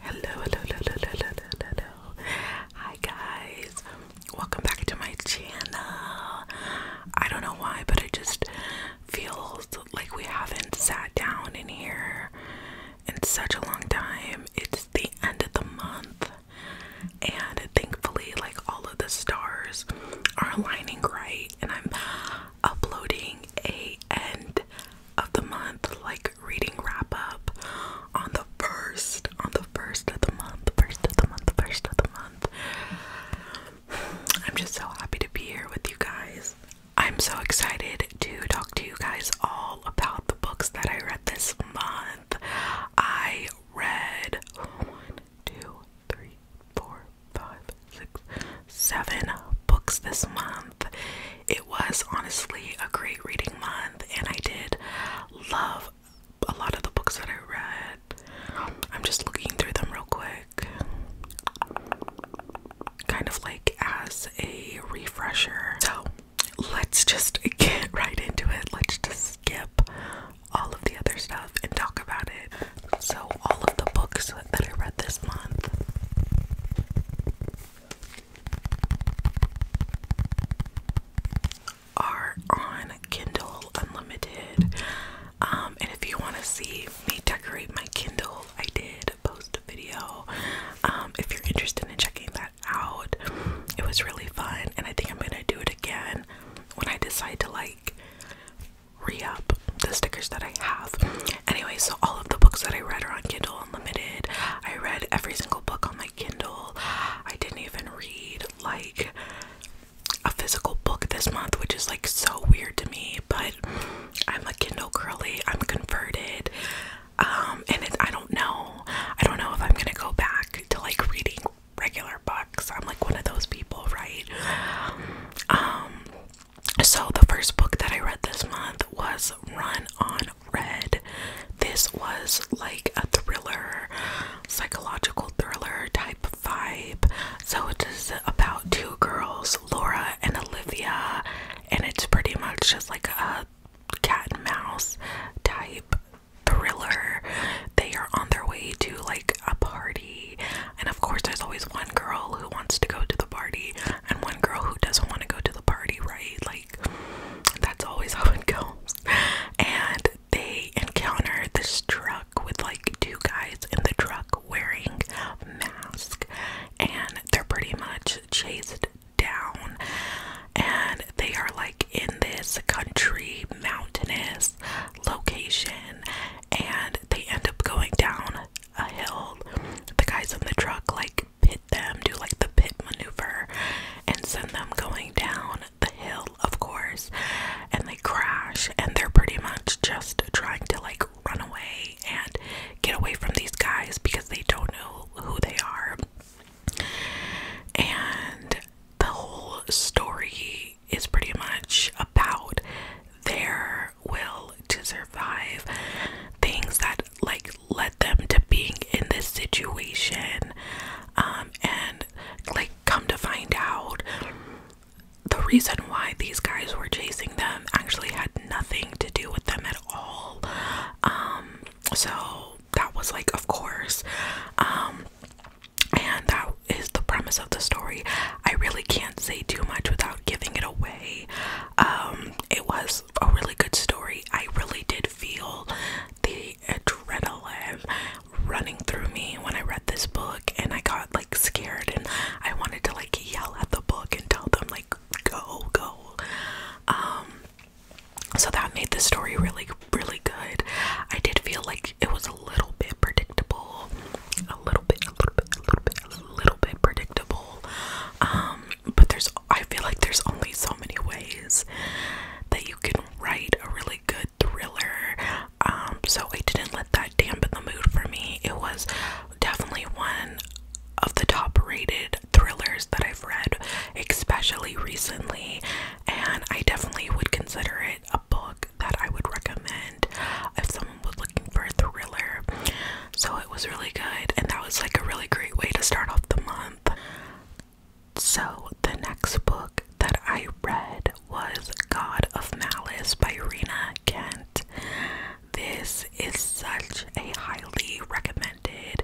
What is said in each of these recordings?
Hello, hello, hello, hello, hello, Hi guys. Welcome back to my channel. I don't know why, but it just feels like we haven't sat down in here in such a long time. It's the end of the month. And thankfully, like all of the stars are aligning right, and I'm uploading a end of the month like reading wrap up on the first, on the first of the month, first of the month, first of the month. I'm just so happy to be here with you guys. I'm so excited to talk to you guys all about the books that I read this month. I read one, two, three, four, five, six, seven books this month, it was honestly a great reading month, and I did love a lot of the books that I read. I'm just looking through them real quick, kind of like as a refresher. So let's just get right into it. Let's just skip all of the other stuff and talk about it. So, all of the books that I read this month are on Kindle Unlimited. Um, and if you want to see me decorate my Kindle, I did post a video. Um, if you're interested in checking that out, it was really fun, and I think I'm gonna do it again when I decide to like re up the stickers that I have. Anyway, so all of the books that I read are on Kindle Unlimited. I read every single book on my Kindle. I didn't even read like a physical book this month, which is like so weird to me, but I'm a Kindle curly. I'm converted. Um, and I don't know. I don't know if I'm gonna go back to like reading regular books. I'm like one of those people, right? Um, so the first book that I read this month was Run on read. This was like a thriller, psychological thriller type vibe. So it is about two girls, Laura and Olivia, and it's pretty much just like a cat and mouse type thriller. They are on their way to like a party, and of course, there's always one girl who wants to go to the party and one girl who doesn't want to go to the party, right? like that's always how it goes. And they encounter this truck with like two guys in the truck wearing masks, and they're pretty much chased down. And they are like in this country mountainous location, and they end up going down a hill. The guys in the truck like pit them, do like the pit maneuver, and send them going down the hill, of course. And they crash, and they're pretty much just trying to like run away and get away from these guys because they don't know who they are. And the whole story is pretty much about their will to survive things that like led them to being in this situation um, and like come to find out the reason why these guys were chasing them actually had nothing to do with them at all um, so that was like of course um, and that is the premise of the story i really can't say too much without giving it away it was a really good story. I really did feel the adrenaline running through me when I read this book and I got like scared and I wanted to like yell at the book and tell them like go go. Um so that made the story really really good. I did feel like it was a little bit predictable. A little bit, a little bit, a little bit, a little bit predictable. Um but there's I feel like there's only so so many ways that you can write a really good thriller. Um, so I didn't let that dampen the mood for me. It was definitely one of the top rated thrillers that I've read, especially recently, and I definitely would consider it a book that I would recommend if someone was looking for a thriller. So it was really good, and that was like a really great way to start off the month. So, the next book that I read was God of Malice by Rena Kent. This is such a highly recommended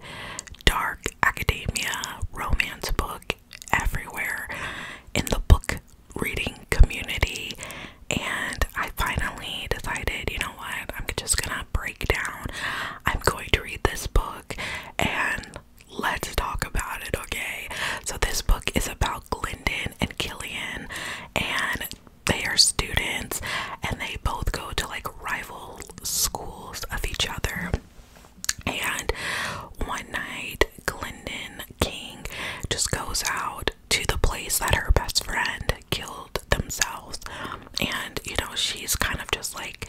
dark academia romance book everywhere in the book reading community. And I finally decided, you know what, I'm just gonna breakdown. I'm going to read this book and let's talk about it, okay? So, this book is about Glendon and Killian, and they are students, and they both go to like rival schools of each other. And one night, Glendon King just goes out to the place that her best friend killed themselves. And, you know, she's kind of just like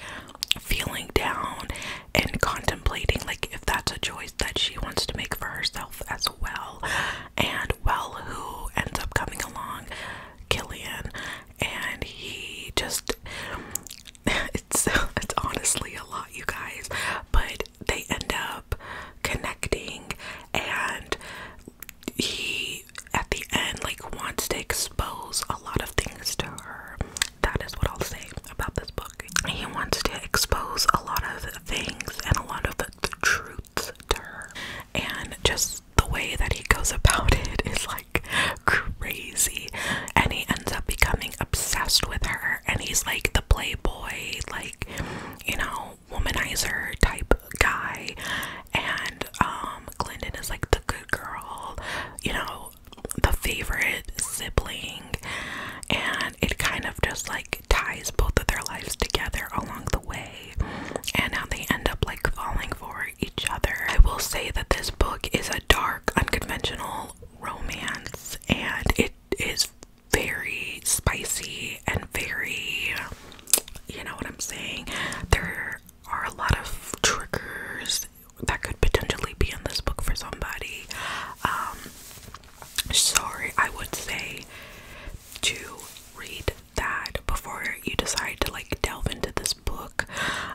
feeling down and contemplating like if that's a choice that she wants to make for herself as well. And well, who ends up coming along? Killian. And he just it's it's honestly a lot, you guys, but they end up connecting and he at the end like wants to expose a lot of things to her. That is what I'll say about this book. He wants to expose a lot of things and a lot of the truths to her. And just the way that he goes about it is like crazy. And he ends up becoming obsessed with her. And he's like the playboy, like, you know, womanizer type guy. And um Glendon is like the good girl, you know, the favorite sibling, and it kind of just like ties both of their lives together along the way, and how they end up like falling for each other. I will say that this book is a dark, unconventional romance, and it is very spicy and very, you know what I'm saying? There are a lot of triggers that could potentially be in this book for somebody. Um, sorry, I would say to read that before you decide to like delve into this book.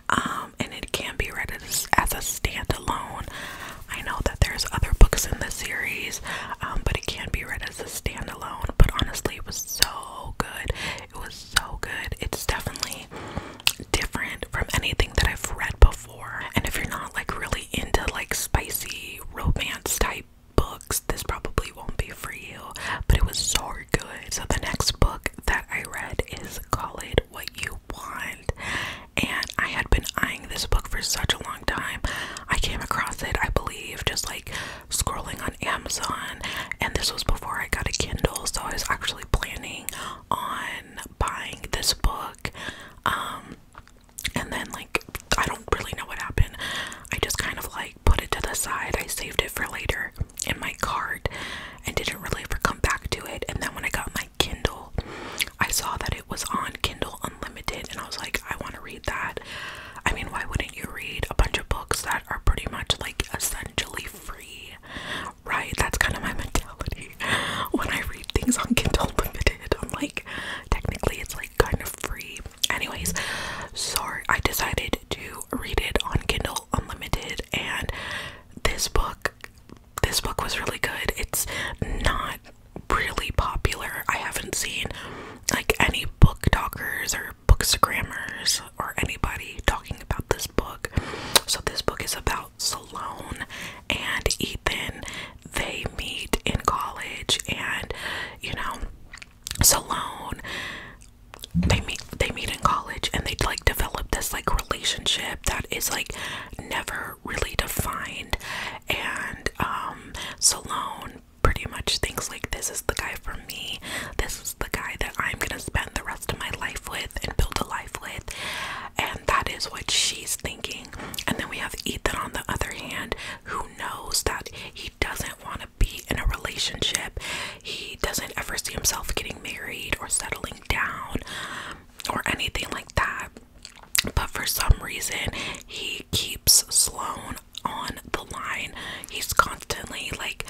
Um, and it can be read as, as a standalone. I know that there's other books in the series, um, but it can be read as a standalone. But honestly, it was so good. It was so good. It's definitely different from anything that I've read before. And if you're not like really into like spicy romance type books, this probably won't be for you. But it was so good. So the next book that I read is Call It What You Want. And I had been eyeing this book for such a long time. I came across it, I believe, just like scrolling on Amazon. And this was before I got a Kindle, so I was actually planning on buying this book. Um, and then, like, I don't really know what happened. I just kind of like put it to the side. I saved it for later in my cart and didn't really ever come back to it. And then when I got my Kindle, I saw that it was on Kindle Unlimited, and I was like, I want to read that. I mean, why wouldn't you read a bunch of books that are pretty much like a study? essentially free, right? That's kind of my mentality when I read things on Kindle Limited. I'm like, technically, it's like kind of free. Anyways, sorry, I decided to read it on Kindle Unlimited, and this book, this book was really good. It's not really popular. I haven't seen like any book talkers or book bookstagrammers or anybody talking about this book. So, this book is about Salone and Ethan. They meet in college, and you know, Salone. They meet. They meet in college, and they like develop this like relationship that is like never really defined. And um, Salone pretty much thinks like this is the guy for me. This is the guy that I'm gonna spend the rest of my life with and build a life with, and that is what she's thinking. And then we have Ethan on the other hand, who knows that he doesn't want to be in a relationship, he doesn't ever see himself getting married or settling down or anything like that. But for some reason, he keeps Sloan on the line. He's constantly like,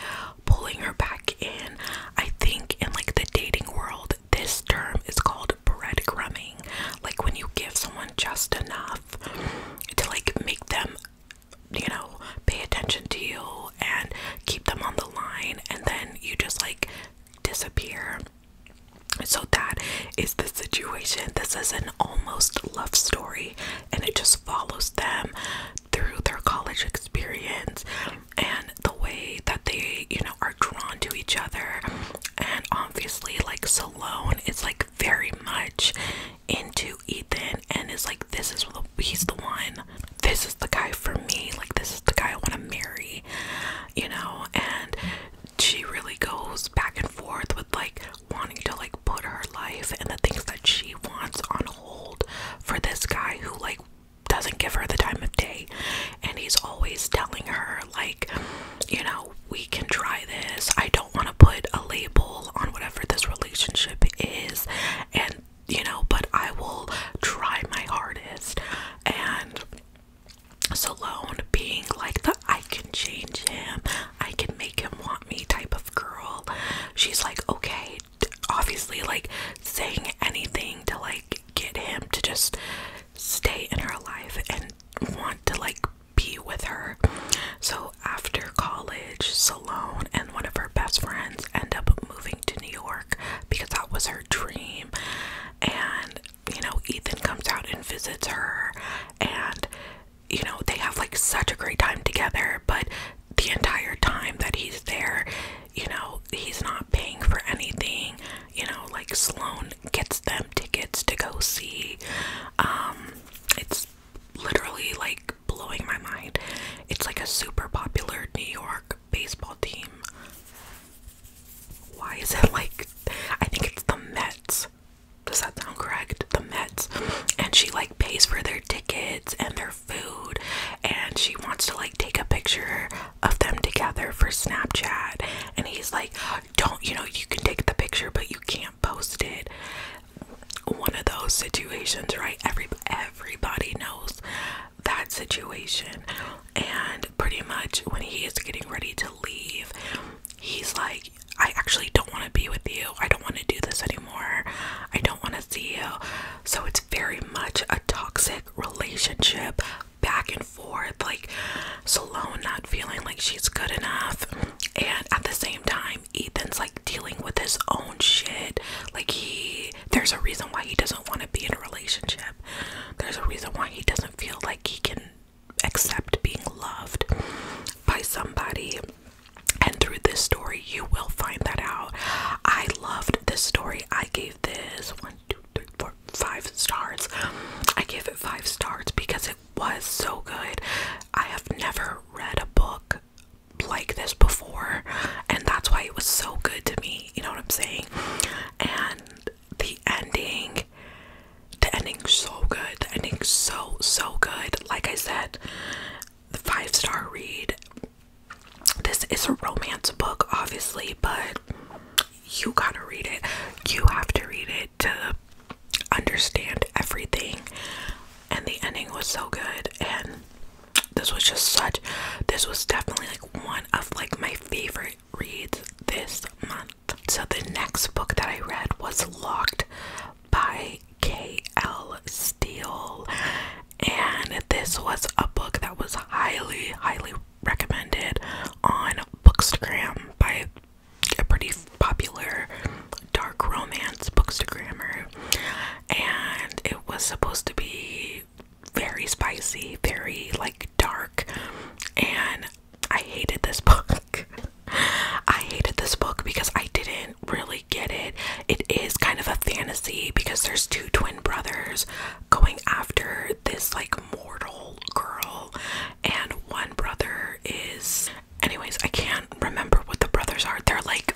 pulling her back in. I think in like the dating world, this term is called breadcrumbing. Like when you give someone just enough to like make them, you know, pay attention to you and keep them on the line, and then you just like disappear. So that is the situation. This is an almost love story and it just follows them through their college experience and the way that they, you know, are drawn to each other. And obviously, like Salone is like very much into Ethan and is like, this is the, he's the one, this is the guy for me, like, this is the guy I want to marry, you know. And she really goes back and forth with like wanting to like put her life and the things that she wants on hold for this guy who like doesn't give her the time of day and he's always telling her like you know we can try this i don't want to put a label on whatever this relationship is and you know but i will try my hardest and Salone being like the I can change him, I can make him want me type of girl. She's like, okay, obviously like saying anything to like get him to just stay in her life and want to like be with her. So after college, Salone and one of her best friends end up moving to New York because that was her dream. And you know, Ethan comes out and visits her and you know, they have like such a great time together, but the entire time that he's there, you know, he's not paying for anything. You know, like Sloan gets them tickets to go see. Um, it's literally like blowing my mind. It's like a super popular New York baseball team. Why is it like I think it's the Mets? Does that sound correct? The Mets. And she like pays for their tickets and their food and she wants to like take a picture of them together for Snapchat. And he's like, Don't you know, you can take the picture, but you can't post it. One of those situations, right? Every everybody knows that situation. And pretty much when he is getting ready to leave, he's like, I actually don't want to be with you. I don't want to do this anymore. I don't want to see you. So it's very much a toxic relationship back and forth like Salone not feeling like she's good enough and at the same time Ethan's like dealing with his own shit like he there's a reason why he doesn't want to be in a relationship there's a reason why he doesn't feel like he can accept being loved by somebody and through this story you will find that out I loved this story I gave this one one, two, three, four, five stars. I gave it five stars because it was so good. I have never read a book like this before, and that's why it was so good to me. You know what I'm saying? And the ending, the ending's so good. The ending's so, so good. Like I said, the five star read. This is a romance book, obviously, but you gotta read it. You have to read it to understand everything. And the ending was so good. And this was just such, this was definitely like one of like my favorite reads this month. So the next book that I read was Locked by K.L. Steele and this was a book that was highly, highly recommended on Bookstagram by a pretty popular dark romance bookstagrammer, and it was supposed to be very spicy, very like dark, and I hated this book. I hated this book because I didn't really get it. It is kind of a fantasy because there's two twin brothers going after this like mortal girl and one brother is anyways i can't remember what the brothers are they're like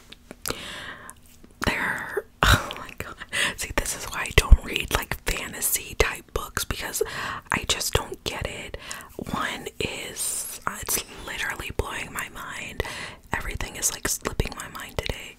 they're oh my god see this is why i don't read like fantasy type books because i just don't get it one is uh, it's literally blowing my mind everything is like slipping my mind today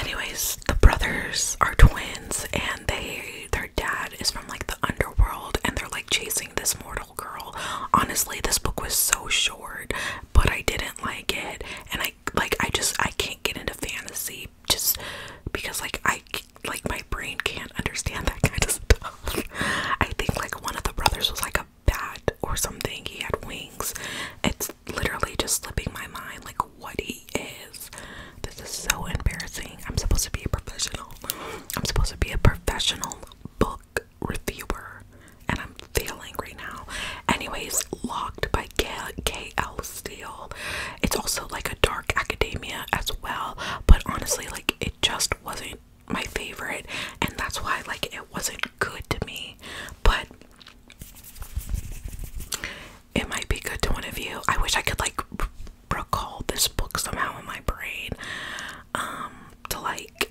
Anyways, the brothers are twins and they their dad is from like the underworld and they're like chasing this mortal girl. Honestly, this book was so short, but I didn't like it and I like I just I can't get into fantasy just because like I like my brain can't understand that kind of stuff. I think like one of the brothers was like a bat or something. He had wings. It's literally just slipping my mind like what he is. This is so embarrassing. I'm supposed to be a professional. I'm supposed to be a professional book reviewer and I'm failing right now. Anyways, Locked by K.L. Steele. It's also like a dark academia as well, but honestly like it just wasn't my favorite and that's why like it wasn't good to me. But it might be good to one of you. I wish I could like recall this book somehow in my brain um, to like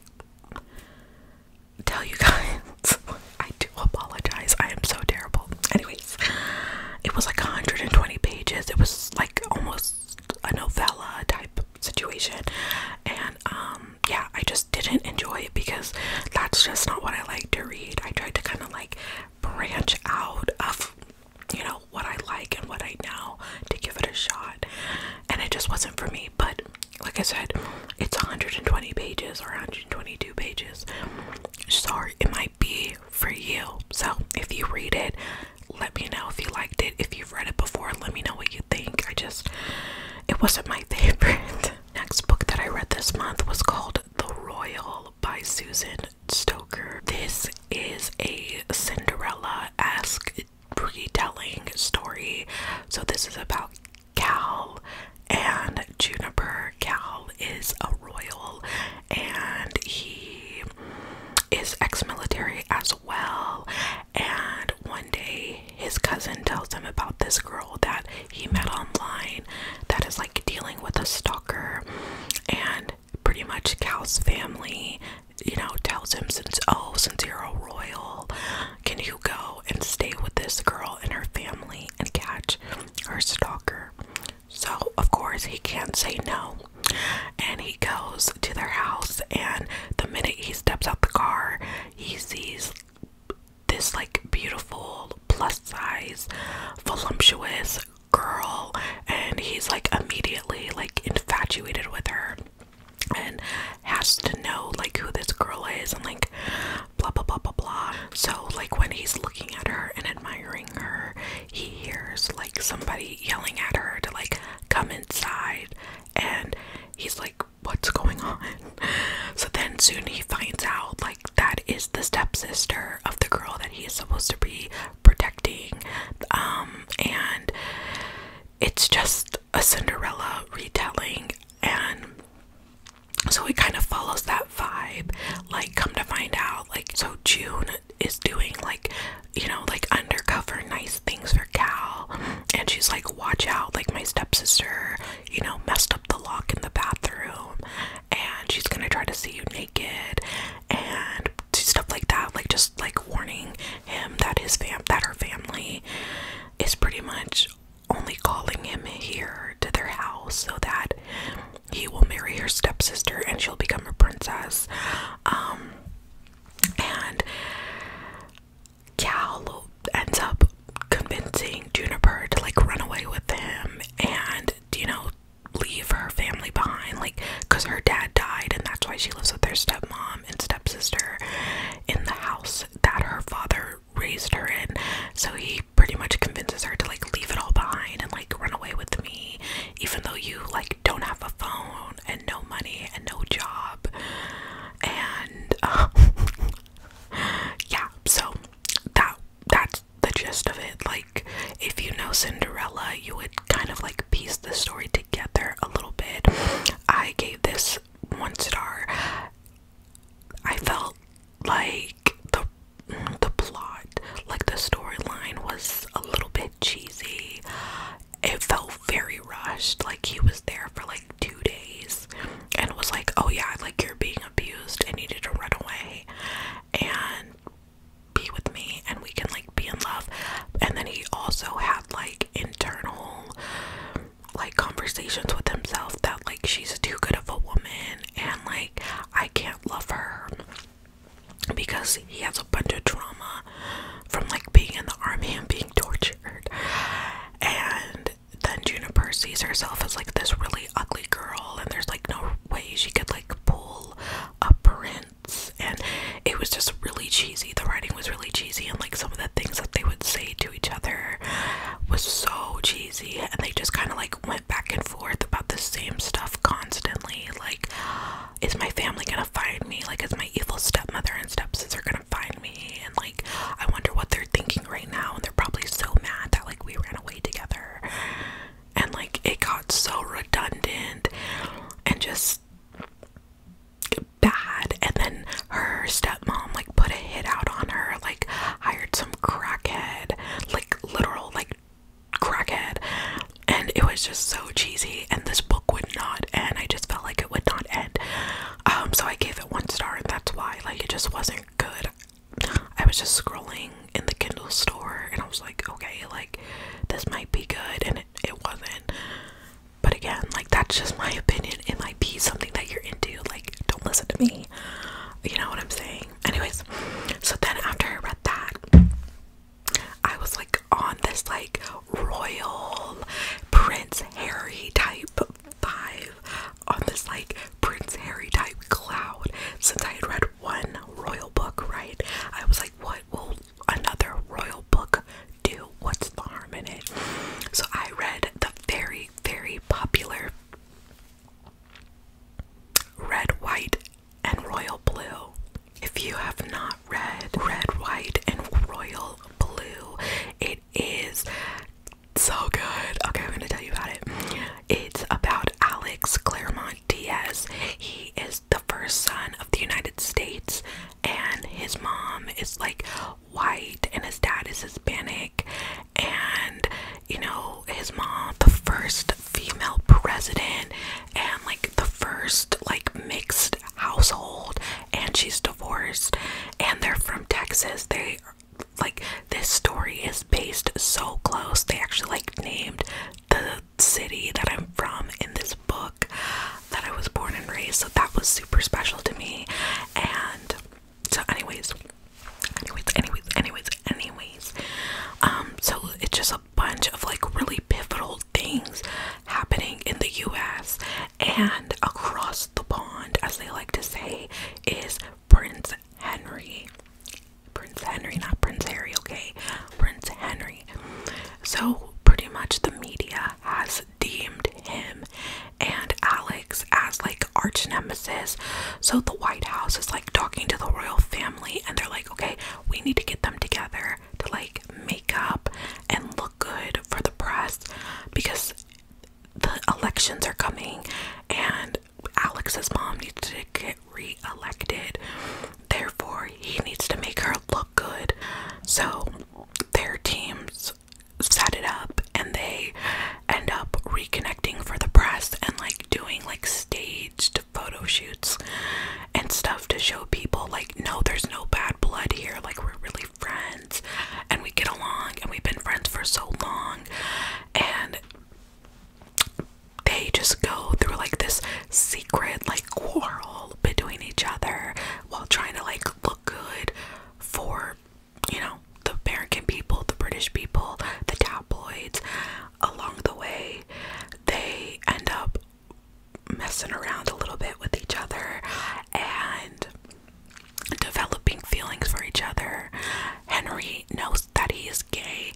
tell you guys. I do apologize. I am so terrible. Anyways, it was like 120 pages. It was like almost a novella type situation and um, yeah, I just didn't enjoy it because that's just not what I like to read. I tried to kind of like branch out of, you know, what I like and what I know to give it a shot. And it just wasn't for me. But like I said, it's 120 pages or 122 pages. Sorry, it might be for you. So if you read it, let me know if you liked it. If you've read it before, let me know what you think. I just, it wasn't my favorite. Next book that I read this month was called the Royal by Susan Stoker. This is a Cinderella esque retelling story. So, this is about Cal and Juniper. Cal is a royal and he is ex military as well. And one day, his cousin tells him about this girl that he met online that is like dealing with a stalker and pretty much Cal's family, you know, tells him since oh, since you're a royal, can you go and stay with this girl and her family and catch her stalker? So of course he can't say no. And he goes to their house and the minute he steps out the car, he sees this like beautiful plus size voluptuous girl and he's like immediately like infatuated with her and has to know like who this girl is and like blah blah blah blah blah so like when he's looking at her and admiring her he hears like somebody yelling at her to like come inside and he's like what's going on so then soon he finds out like that is the stepsister of the girl that he is supposed to be protecting um and it's just a Cinderella retelling and so he kind of follows that vibe like come to find out like so June is doing like you know like undercover nice things for Cal and she's like watch out like my stepsister you know messed up the lock in the bathroom and she's gonna try to see you naked and stuff like that like just like warning him that his fam that her family is pretty much only calling him here to their house so that he will marry her stepsister and she'll become a princess um, and Cal ends up convincing Juniper to like run away with him and, you know, leave her family behind, like, because her dad died, and that's why she lives with their stepmom and stepsister in the house that her father raised her in. So he pretty much convinces her to like leave it all behind and like run away with me, even though you like don't have a phone and no money and no job. And um, yeah, so that that the gist of it. Like, if you know Cinderella, you would kind of like piece the story together a little bit. I gave this one star. I felt like the the plot, like the storyline, was a little bit cheesy. It felt very rushed. Like he was there for like two days and was like, "Oh yeah, like you're being abused and you need to run away." and be with me and we can like be in love. And then he also had like internal like conversations with himself that like she's too good of a woman and like I can't love her because he has a bunch of trauma from like being in the army and being tortured. And then Juniper sees herself as like this really ugly girl and there's like no way she could like pull a prince and it was just really cheesy the writing was really cheesy and like some of the things that they would say to each other was so cheesy and they just kind of like went back and forth about the same stuff constantly like is my family gonna find me like is my evil stepmother and stepsons are gonna find me and like i wonder what they're thinking right now and they're probably so mad that like we ran away together and like it got so redundant and just bad and then her stepmom like put a hit out on her like hired some crackhead like literal like crackhead and it was just so cheesy and this book would not end i just felt like it would not end um so i gave it one star and that's why like it just wasn't good I was just scrolling in the Kindle store and I was like, okay, like this might be good, and it, it wasn't. But again, like that's just my opinion. It might be something that you're into. Like, don't listen to me. You know what I'm saying? Anyways, so then after I read that, I was like on this like royal Prince Harry type vibe on this like Prince Harry type cloud since I had read one royal book, right? I was like, what will another royal book do? What's the harm in it? So I read the very, very popular Red, White, and Royal Blue. If you have not read Red, White, and Royal Blue, it is so good. Okay, I'm gonna tell you about it. It's about Alex Claremont Diaz. He is the first son of the United States, and his mom is like white, and his dad is Hispanic. And you know, his mom, the first female president, and like the first like mixed household, and she's divorced, and they're from Texas. They like this story is based so close. They actually like named the city that I'm from in this book that I was born and raised, so that was super special to me. And so, anyways, anyways, anyways, anyways, anyways, um, so it's just a bunch of like really pivotal things happening in the U.S. and across the pond, as they like to say, is Prince Henry. Prince Henry, not Prince Harry, okay? Prince Henry. So, pretty much the media has deemed him and Alex as like arch nemesis. So, the White House is like talking to the royal family and they're like, okay, we need to get them together to like make up and look good for the press because the elections are coming and Alex's mom needs to get re-elected. Therefore, he needs to make her look good. So their teams set it up and they end up reconnecting for the press and like doing like staged photo shoots and stuff to show people like no there's no bad blood here like we're really friends and we get along and we've been friends for so long and they just go through like this secret like quarrel between each other while trying to like look good for you know the American people, the British people, the tabloids. Along the way, they end up messing around a little bit with each other and developing feelings for each other. Henry knows that he is gay.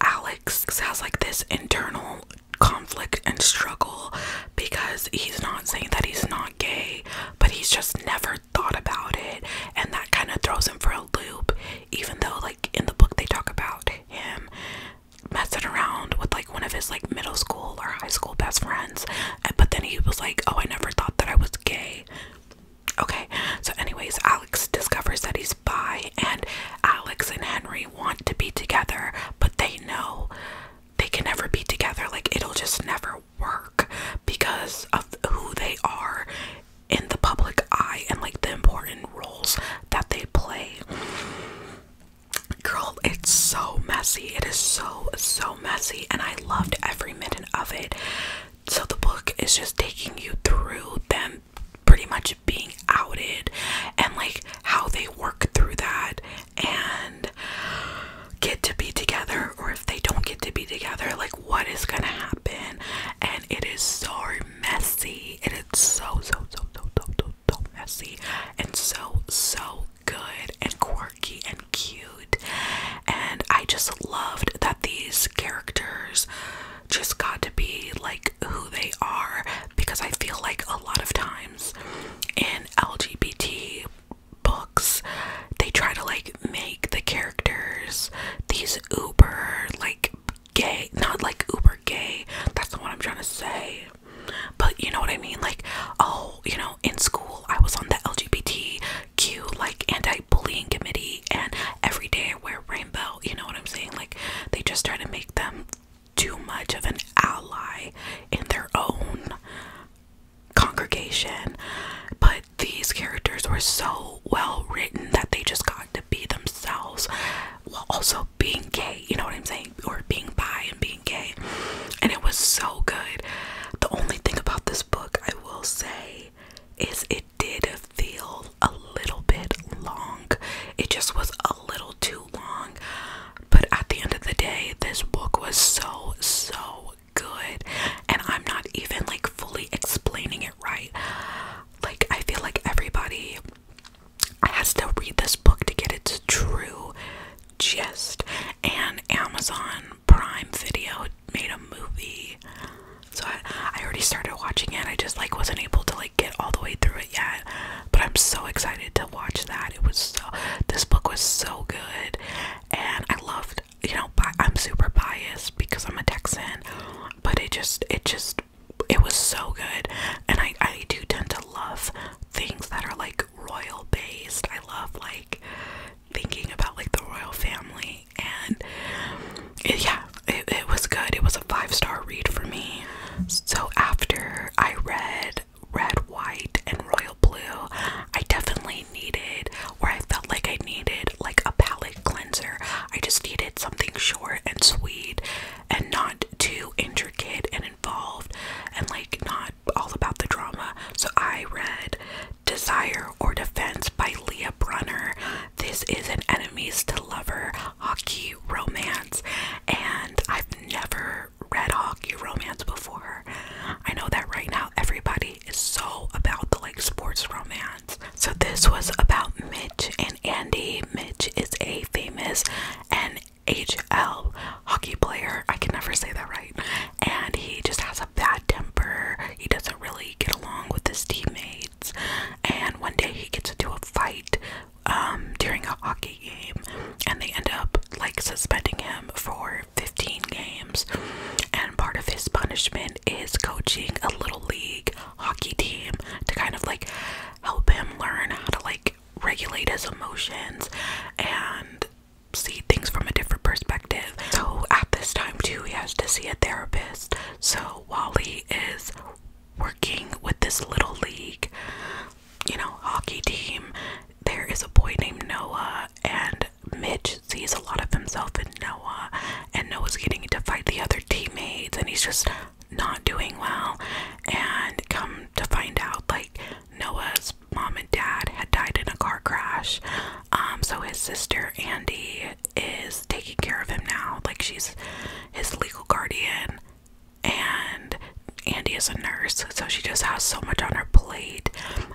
Alex has like this internal conflict and struggle because he's not saying that he's not gay, but he's just never thought about it, and that kind of throws him for a loop, even though, like, in the book, they talk about him messing around with like one of his like middle school or high school best friends, but then he was like, Oh, I never thought that I was gay. Okay, so, anyways, Alex discovers that he's bi, and Alex and Henry want to be together, but they know they can never be together. Like, it'll just never work because of who they are in the public eye and like the important roles that they play. Girl, it's so messy. It is so, so messy, and I loved every minute of it. So, the book is just taking you through them pretty much being outed and like how they work through that and get to be together or if they don't get to be together like what is gonna happen and it is so messy it is so so so so so so, messy and so so good and quirky and cute and I just loved that these characters just got to be like who they are because I feel like a lot of times in LGBT books they try to like make the characters these uber like gay not like uber gay that's not what I'm trying to say but you know what I mean like oh you know in school I was on the LGBTQ like anti-bullying committee and every day I wear rainbow. You know what I'm saying? Like they just try to make them too much of an ally in their own congregation. But these characters were so well written that they just got to be themselves while also being gay, you know what I'm saying? Or being bi and being gay. And it was so good. The only thing about this book I will say is it did feel a little bit long. It just was a little too long. But at the end of the day, this book was so, so good. And I'm not even like fully explaining it right. Like, I feel like everybody has to read this book to get its true gist. And Amazon Prime Video made a movie so I, I already started watching it. I just like wasn't able to like get all the way through it yet, but I'm so excited to watch that. It was so this book was so good, and I loved. You know, I'm super biased because I'm a Texan, but it just it just it was so good, and I I do tend to love things that are like royal based. I love like thinking about like the royal family and yeah it, it was good. It was a five-star read for me. So after I read Red, White, and Royal Blue, I definitely needed, where I felt like I needed, like a palette cleanser. I just needed something short and sweet and not too intricate and involved and like not all about the drama. So I read Desire or Defense by Leah Brunner, this is an enemies to lover hockey romance, and I've never read hockey romance before. I know that right now everybody is so about the like sports romance. So this was about Mitch and Andy. Mitch is a famous NHL hockey player. I can never say that right. And he just has a bad temper. He doesn't really get along with his teammates and one day he gets into a fight um, during a hockey game, and they end up like suspending him for 15 games. And part of his punishment is coaching a little league hockey team to kind of like help him learn how to like regulate his emotions and see things from a different perspective. So, at this time, too, he has to see a therapist. So, while he is working with this little league, you know, hockey team. There is a boy named Noah, and Mitch sees a lot of himself in Noah, and Noah's getting to fight the other teammates, and he's just not doing well. And come to find out, like, Noah's mom and dad had died in a car crash. Um, so his sister Andy is taking care of him now. Like she's his legal guardian and Andy is a nurse, so she just has so much on her plate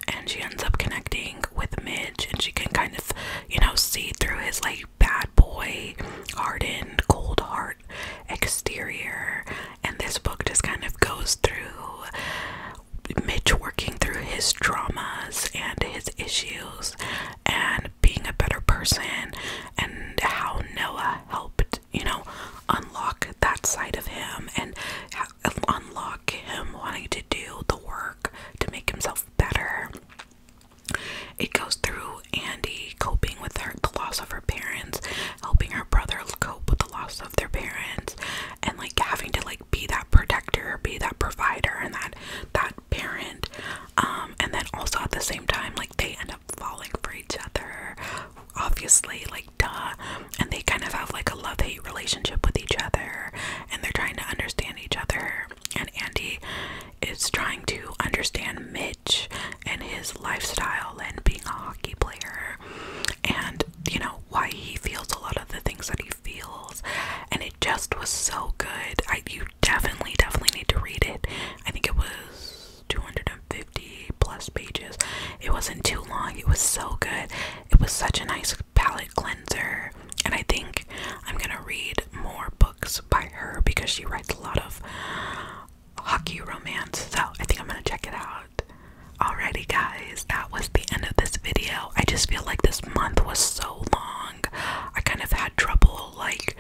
and she ends up connecting with Mitch, and she can kind of, you know, see through his like bad boy, hardened, cold heart exterior. And this book just kind of goes through Mitch working through his traumas and his issues and being a better person and how Noah helped, you know, unlock that side of him and unlock him wanting to do the work to make himself better. It goes through Andy coping with the loss of her parents, helping her brother cope with the loss of their parents, and like having to like be that protector, be that provider, and that that parent um, and then also at the same time like they end up falling for each other obviously like duh and they kind of have like a love-hate relationship with each other and they're trying to understand each other and Andy is trying to understand Mitch and his lifestyle and being a hockey player and you know why he feels a lot of the things that he feels and it just was so good I you definitely, definitely need to read it. I think it was 250 plus pages. It wasn't too long, it was so good. It was such a nice palette cleanser. And I think I'm gonna read more books by her because she writes a lot of hockey romance. So I think I'm gonna check it out. Alrighty, guys, that was the end of this video. I just feel like this month was so long. I kind of had trouble, like,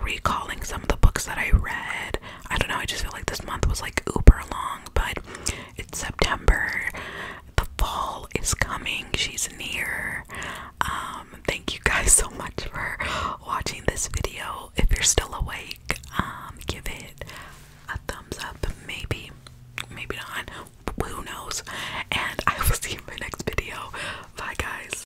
recalling some of the books that I read. I don't know, I just feel like this month was like uber long, but it's September. The fall is coming, she's near. Um, thank you guys so much for watching this video. If you're still awake, um, give it a thumbs up, maybe, maybe not. Who knows? And I will see you in my next video. Bye, guys.